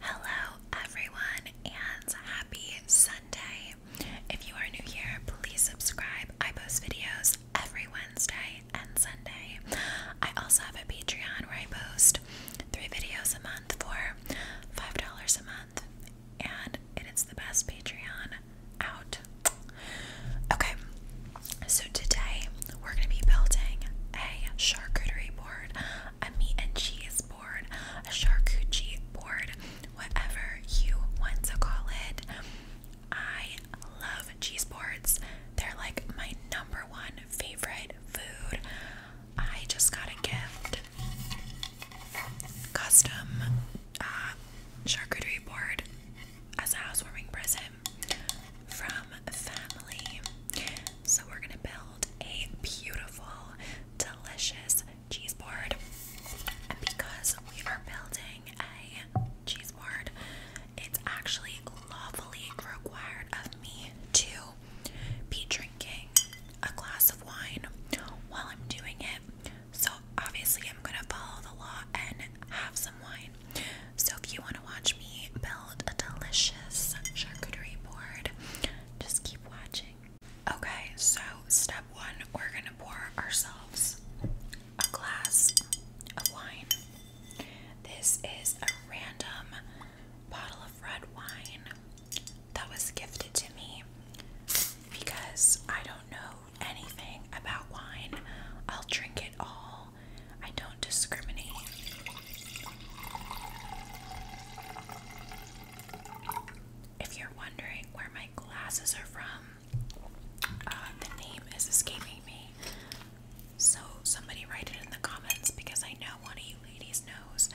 Hello, everyone, and happy Sunday. If you are new here, please subscribe. I post videos every Wednesday and Sunday. I also have a Patreon where I post three videos a month for $5 a month, and it is the best Patreon out. Okay, so today we're going to be building a charcuterie board, a meat and cheese board a charcuterie board, whatever you want to call it. I love cheese boards. They're like my number one favorite food. I just got a gift custom uh, charcuterie board as a housewarming present from family. So we're gonna build a beautiful, delicious cheese board. because we are building a cheese board, it's actually lawfully required of me to be drinking a glass of wine while I'm doing it. So, obviously, I'm gonna follow the law and have some wine. So, if you want to watch me build a delicious charcuterie board, just keep watching. Okay, so step one, we're gonna pour ourselves a glass of wine. This is a random bottle of red wine that was gifted to me because I don't know anything about wine. I'll drink it all. I don't discriminate. If you're wondering where my glasses are from, uh, the name is escaping me. So somebody write it in the comments because I know one of you ladies knows.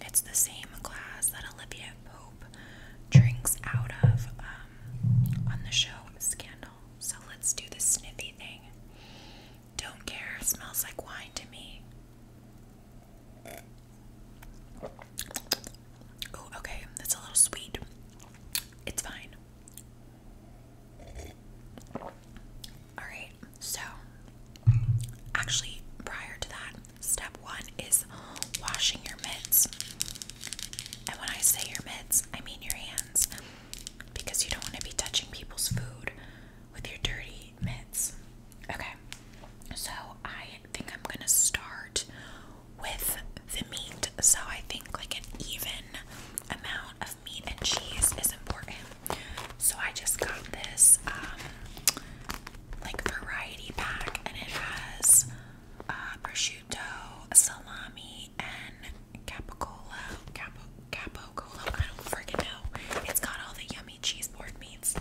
It's the same glass that Olivia Pope drinks out of um, on the show Scandal. So let's do the sniffy thing. Don't care, smells like wine to me okay, that's a little sweet. It's fine. Alright, so actually, prior to that, step one is washing your mitts. And when I say your mitts, I mean your hands because you don't want to be touching people's food with your dirty Okay, so I think I'm gonna start with the meat. So I think like an even amount of meat and cheese is important. So I just got this um, like variety pack, and it has uh, prosciutto, salami, and capocollo. capo, capo I don't freaking know. It's got all the yummy cheese board meats.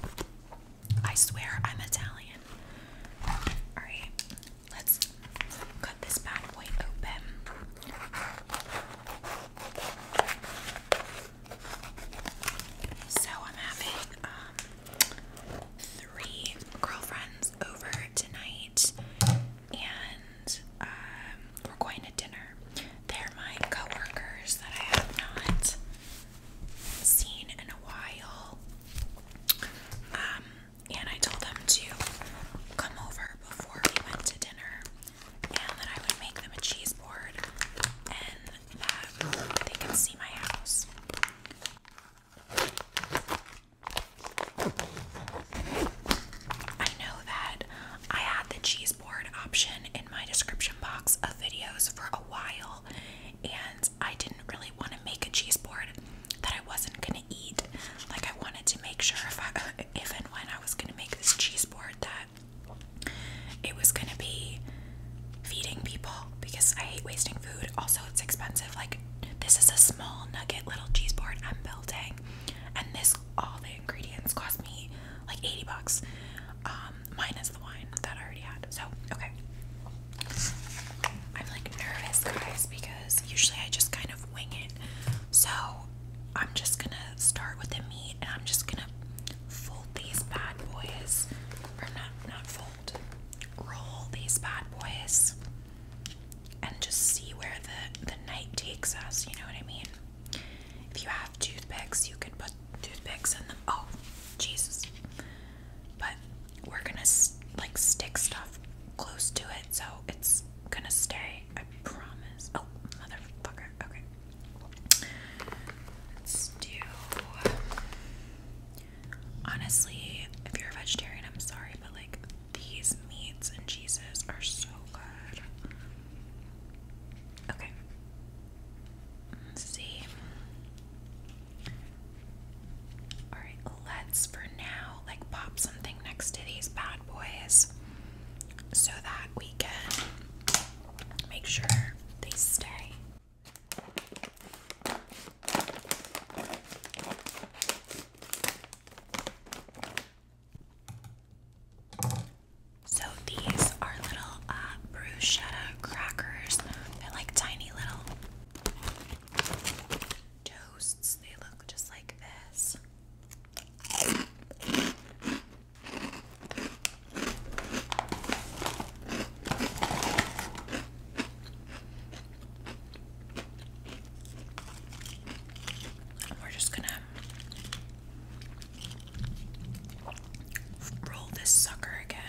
I swear I'm Italian. Alright, let's cut this bad boy open. So I'm having um, three girlfriends over tonight, and um, we're going to dinner. They're my coworkers that I have not seen in a while. Um, and I told them to come over before we went to dinner and then I would make them a cheese board and that they can see my house. I know that I had the cheese Board option in my description box of videos for a while, and I didn't really want to make a cheese board that I wasn't gonna eat. Like I wanted to make sure if I, if and when I was gonna make this cheese board that it was gonna be feeding people because I hate wasting food. Also, it's expensive. Like this is a small nugget little cheese board I'm building, and this all the ingredients cost me like 80 bucks. Um, minus the wine that I already had. So, okay. I'm like nervous, guys, because usually I just kind of wing it. So, I'm just gonna start with the meat and I'm just gonna fold these bad boys. Or not, not fold, roll these bad boys and just see where the, the night takes us, you know what I mean? If you have toothpicks, you can put toothpicks in them. Oh, Jesus. But we're gonna like stick stuff close to it, so it's gonna stay. I promise. Oh, motherfucker. Okay. Honestly, if you're a vegetarian, I'm sorry, but like these meats and cheeses are so good. Okay. Let's see. Alright, let's for now like pop something next to these bad boys so that we can make sure they stay. So these are little uh, bruschetta crackers. They're like tiny little toasts. They look just like this. We're just gonna roll this sucker again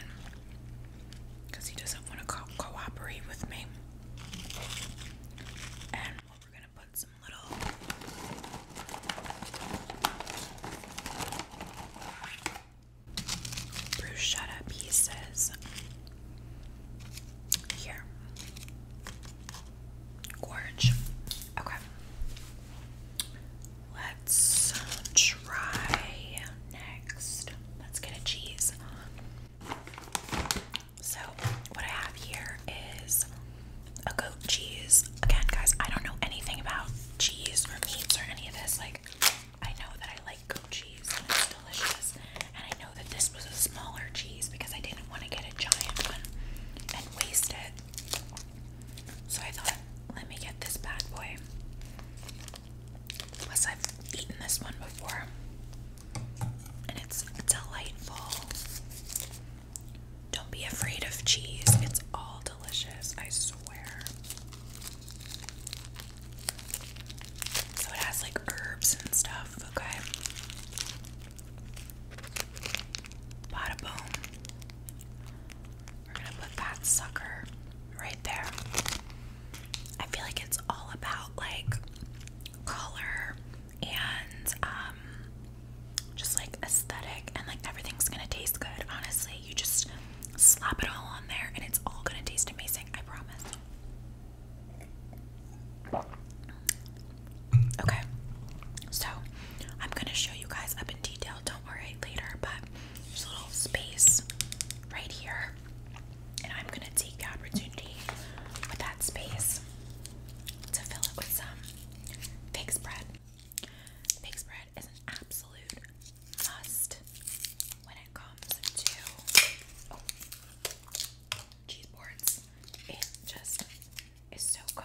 because he doesn't want to cooperate with me. And we're going to put some little. Bruschetta pieces here. Gorge. Okay. Let's try next. Let's get a cheese. So, what I have here is a goat cheese. Again, guys, I don't know anything about cheese or meats or any of this. Like, I know that I like goat cheese and it's delicious. And I know that this was a smaller cheese because I didn't want to get a giant one and waste it. So I thought, let me get this bad boy. Plus, I've eaten this one before, and it's delightful. Don't be afraid of cheese, it's all delicious, I swear. So it has like herbs and stuff, okay? Bada boom. We're gonna put that sucker right there. I feel like it's all about like color and um, just like aesthetic and like everything's gonna taste good. Honestly, you just slap it all on there and it's all gonna taste amazing, I promise. Okay, so I'm gonna show you guys up in detail, don't worry later, but there's a little space right here, and I'm gonna take the opportunity with that space to fill it with some fig spread. Fig spread is an absolute must when it comes to oh, cheese boards. It just is so good.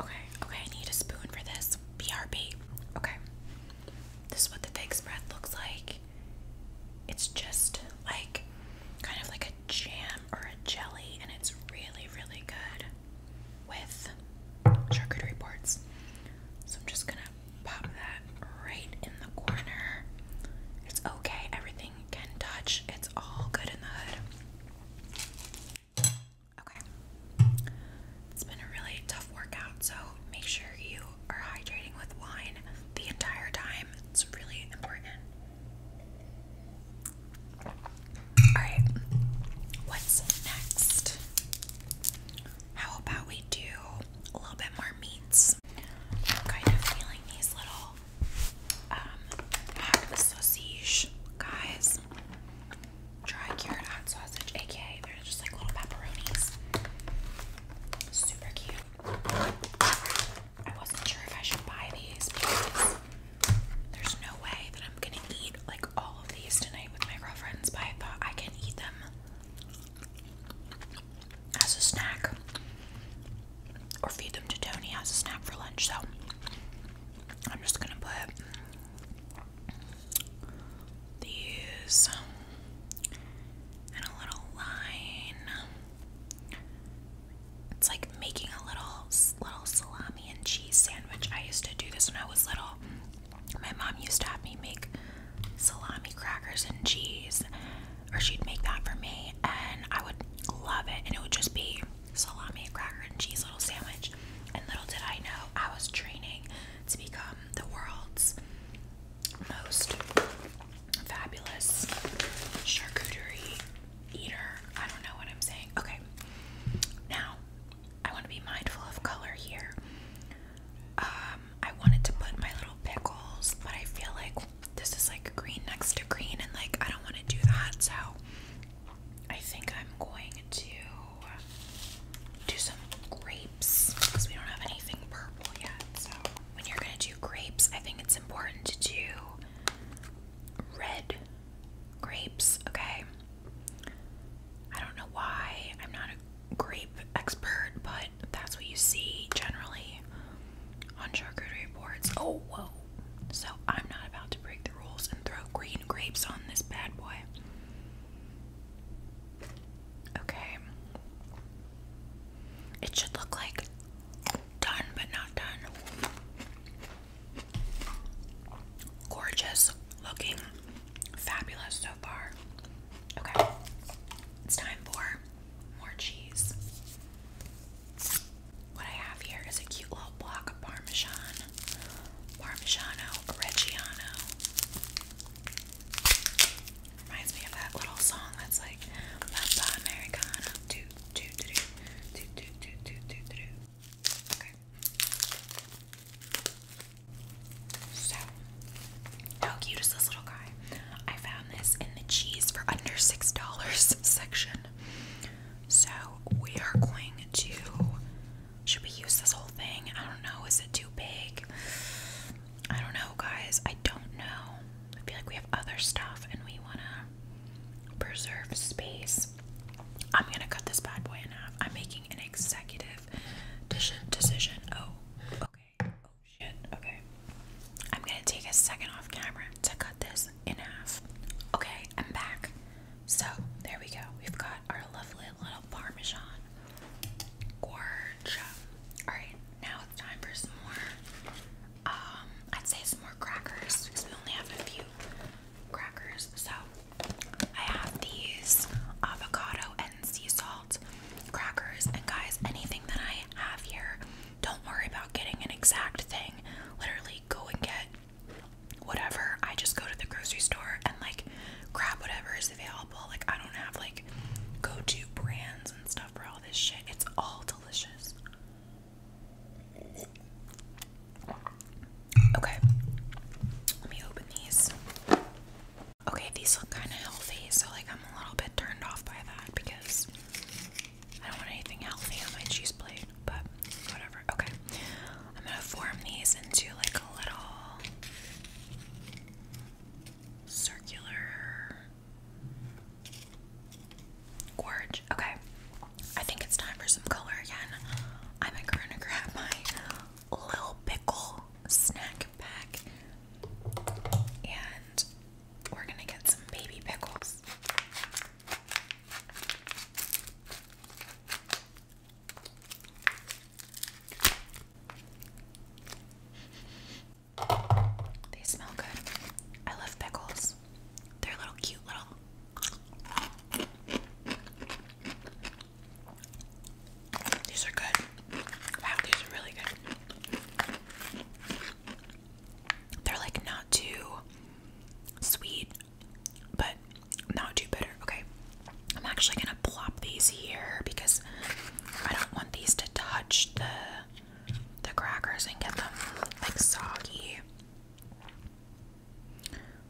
Okay, okay, I need a spoon for this. BRB. Okay. This is what the fig spread looks like. It's just like kind of like a jam or a jelly, and it's really, really good with charcuterie boards. So I'm just gonna pop that right in the corner. It's okay, everything can touch, it's all good in the hood. Okay. It's been a really tough workout, so make sure you are hydrating with wine the entire time. It's really important. Alright, what's next? How about we do a little bit more meats? I'm kind of feeling these little um, hot sausage guys. Dry cured hot sausage, aka they're just like little pepperonis. Super cute. I wasn't sure if I should buy these because there's no way that I'm gonna eat like all of these tonight with my girlfriends, but I thought I can eat them as a snack or feed them to Tony as a snack for lunch. So I'm just gonna put these in a little line. It's like making a little little salami and cheese sandwich. I used to do this when I was little. My mom used to have me make salami crackers and cheese or she'd make that for me, and I would love it. And it would just be salami, and cracker, and cheese little sandwich. And little did I know, I was training to become the world's most fabulous charcuterie eater. I don't know what I'm saying. Okay, now I want to be mindful of color here. Um, um, I wanted to put my little pickles, but I feel like this is like green next to green, and like I don't want to do that, so I think I'm going to do some grapes because we don't have anything purple yet. So, when you're going to do grapes, I think it's important to do red grapes, okay? I don't know why, I'm not a grape expert, but that's what you see generally on charcuterie boards. Oh, whoa. So I'm not about to break the rules and throw green grapes on this bad boy. Okay. It should look like done but not done. Gorgeous looking, fabulous so far. Okay, it's time for more cheese. What I have here is a cute little block of Parmesan, Parmigiano Reggiano. Reminds me of that little song that's like Papa Americana. Do do do do do do do do do Okay. So how cute is this little guy? I found this in the cheese for under $6 section. So we are going to. Should we use this whole thing? I don't know. Is it too big? I don't know, guys. I don't know. I feel like we have other stuff and we want to preserve space. I'm going to cut this bad boy in half. I'm making an executive decision. Oh, okay. Oh shit. Okay. I'm gonna take a second off camera to cut this in half. Okay, I'm back. So there we go. We've got our lovely little parmesan. Gorge. Alright, now it's time for some more um, I'd say some more crackers because we only have a few crackers. So I have these avocado and sea salt crackers and guys anything that I have here don't worry about getting an exact thing. Literally, go and get whatever. I just go to the grocery store and like grab whatever is available. Like, I don't have like go to brands and stuff for all this shit. It's all delicious. Okay, let me open these. Okay, these look kind of healthy, so like I'm a little bit turned off by that because I don't want anything healthy on my cheese plate, but whatever. Okay. I'm gonna form these into like a little circular gorge. Okay. I think it's time for some color again. I'm gonna grab my little pickle snack pack and we're gonna get some baby pickles. They smell good. I love pickles. They're little cute little. These are good. Wow, these are really good. They're like not too sweet, but not too bitter. Okay, I'm actually gonna plop these here because I don't want these to touch the the crackers and get them like soggy.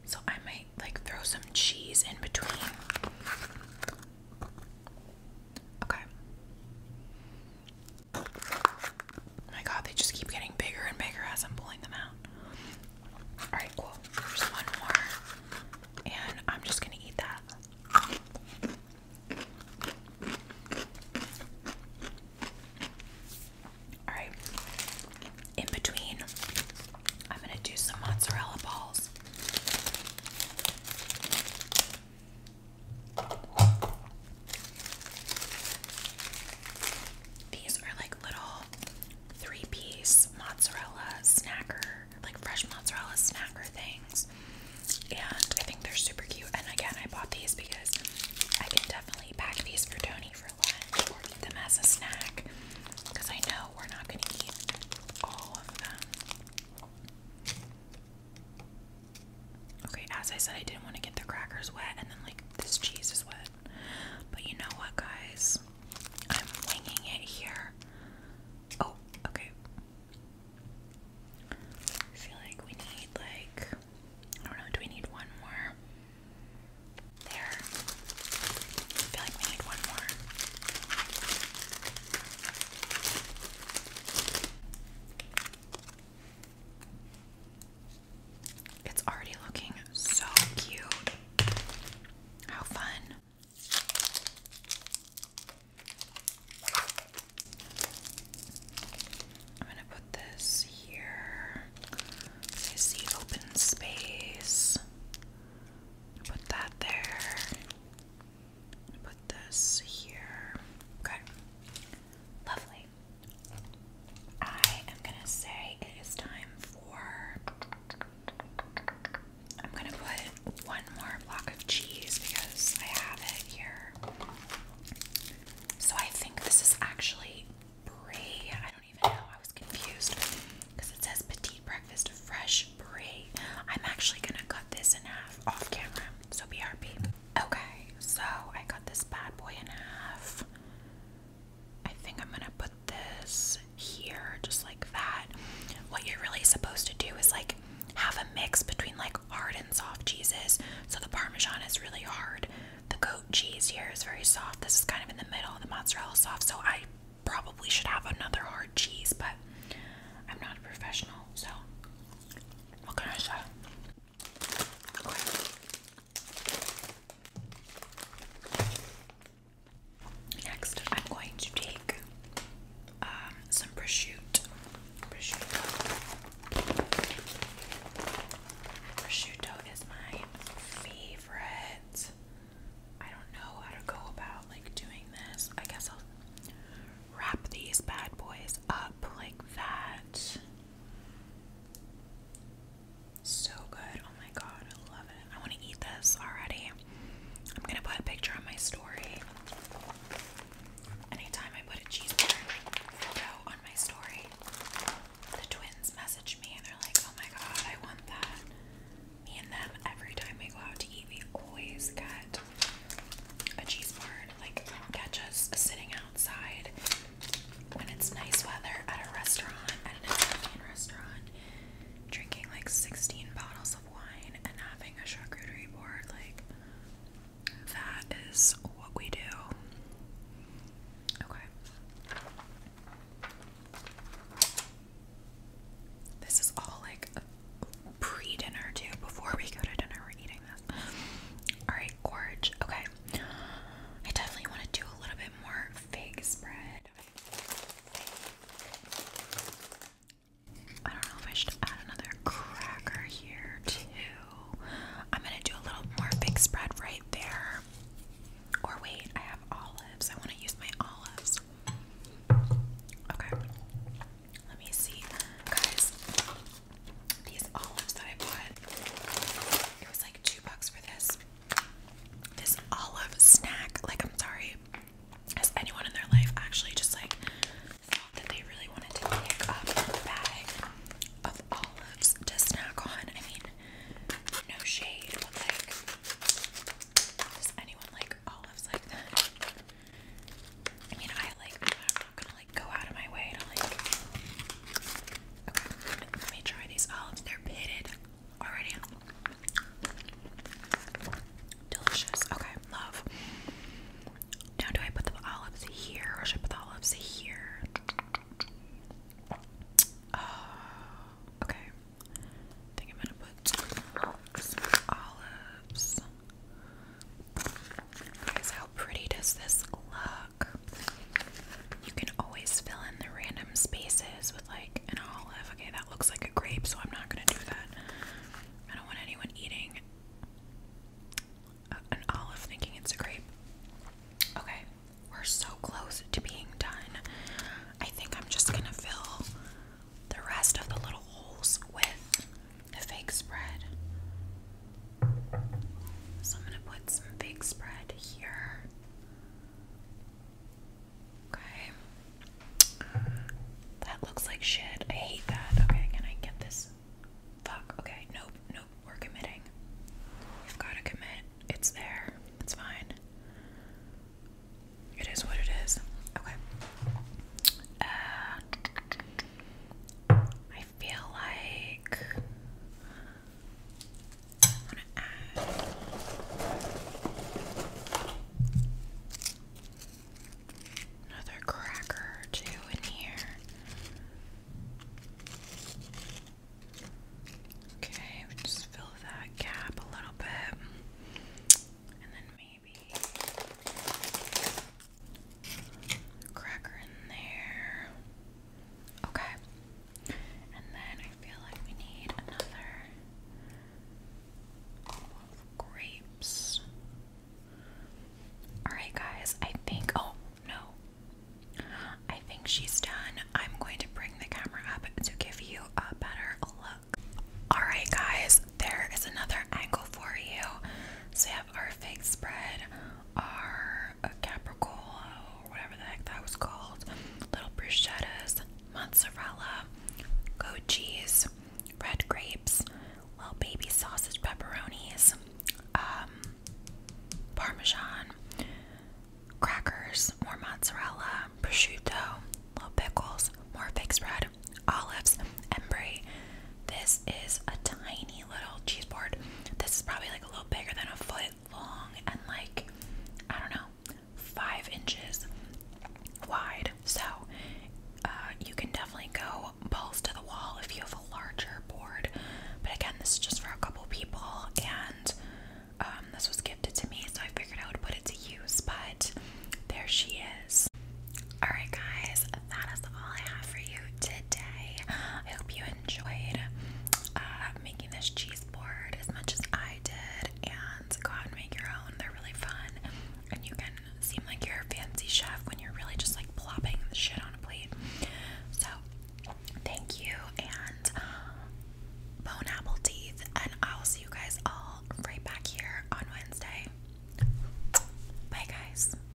So I might like throw some cheese in between. Okay. Oh my god, they just keep getting bigger and bigger as I'm pulling them out. Alright, cool. There's one more. And I'm just gonna eat that. Alright. In between, I'm gonna do some mozzarella balls. These are like little three piece mozzarella snacker, like fresh mozzarella snacker things. And I think they're super cute. And again, I bought these because I can definitely pack these for Tony for lunch or eat them as a snack because I know we're not going to eat all of them. Okay, as I said, I didn't want to get the crackers wet, and then like this cheese is wet. But you know what, guys? I'm winging it here. Oh, okay. I feel like we need like I don't know. Do we need one more? There. I feel like we need one more. It's already looking so cute. How fun. I'm going to put this here. I see open space. Put that there. Put this here. Okay. Lovely. I am gonna say it is time for. I'm gonna put one more block of cheese because I have it here. So I think this is actually brie. I don't even know. I was confused because it says petite breakfast fresh brie. I'm actually gonna cut this in half off camera. So BRB. Okay, so I got this bad boy in half. I think I'm gonna put this here, just like that. What you're really supposed to do is like have a mix between like hard and soft cheeses. So the Parmesan is really hard. The goat cheese here is very soft. This is kind of in the middle. The mozzarella is soft. So I probably should have another hard cheese, but I'm not a professional, so Okay. Next, I'm going to take um, some Prosciutto. Prosciutto is my favorite. I don't know how to go about like doing this. I guess I'll wrap these bad boys up like that. So good. Oh my god, I love it. I want to eat this already. I'm going to put a picture on my story. Anytime I put a cheeseburger photo on my story, the twins message me and they're like, oh my god, I want that. Me and them, every time we go out to eat, we always get a cheese board, like catch us sitting outside when it's nice weather at a restaurant, at an Italian restaurant, drinking like 16 bottles of wine and having a charcuterie board. Like, that is what we do. Okay. This is all like pre dinner, too. Before we go to dinner, we're eating. Alright, gorge. Okay. I definitely want to do a little bit more fig spread. I don't know if I should add another cracker here too. I'm gonna do a little more fig spread right there. Or wait, I have olives. I want to use my olives. Okay. Let me see. Guys, these olives that I bought, it was like two bucks for this. This olive snack. Like, I'm sorry. Has anyone in their life actually just like thought that they really wanted to pick up a bag of olives to snack on? I mean, no shade, but like, does anyone like olives like that? I mean, I like, I'm not gonna like go out of my way to like. Okay, let me try these olives. They're pitted already. Delicious. Okay, love. Now, do I put the olives here or should I put the olives here? Oh, okay. think I'm gonna put olives because how pretty does this look? You can always fill in the random spaces with like an olive. Okay, that looks like a grape, so I'm not gonna do that. I don't want anyone eating an olive thinking it's a grape. Okay, we're so close to being done. I think I'm just gonna fill the rest of the little holes with a fake spread. So I'm going to put some fake spread here. Okay. That looks like shit. I hate that. Okay, can I get this? Fuck. Okay, nope, nope. We're committing. We've got to commit. It's there. It's fine. It is what it is. Okay. Uh, I feel like I want to add. Another cracker or two in here. Okay, just fill that gap a little bit. And then maybe Cracker in there. Okay. And then I feel like we need another grapes. Alright, guys, I think. Oh, no. I think she's done. I'm going to bring the camera up to give you a better look. Alright, guys, there is another angle for you. So, our fig spread, our uh, capricola, or whatever the heck that was called, little bruschettas, mozzarella, goat cheese, red grapes, little baby sausage pepperonis, um, parmesan, crackers, more mozzarella, prosciutto, little pickles, more fig spread, olives, and This is a tiny little cheese board. This is probably like a little bigger than a foot long and like, I don't know, five inches wide. So uh, you can definitely go balls to the wall if you have a larger board. But again, this is just for a couple people and um, this was gifted to me, so I figured I would put it to use. But there she is. Alright, guys, that is all I have for you today. I hope you enjoyed uh, making this cheese board as much as I did. And go out and make your own, they're really fun. And you can seem like you're a fancy chef when you're really just like plopping the shit on a plate. So, thank you, and bone apple teeth. And I will see you guys all right back here on Wednesday. Bye, guys.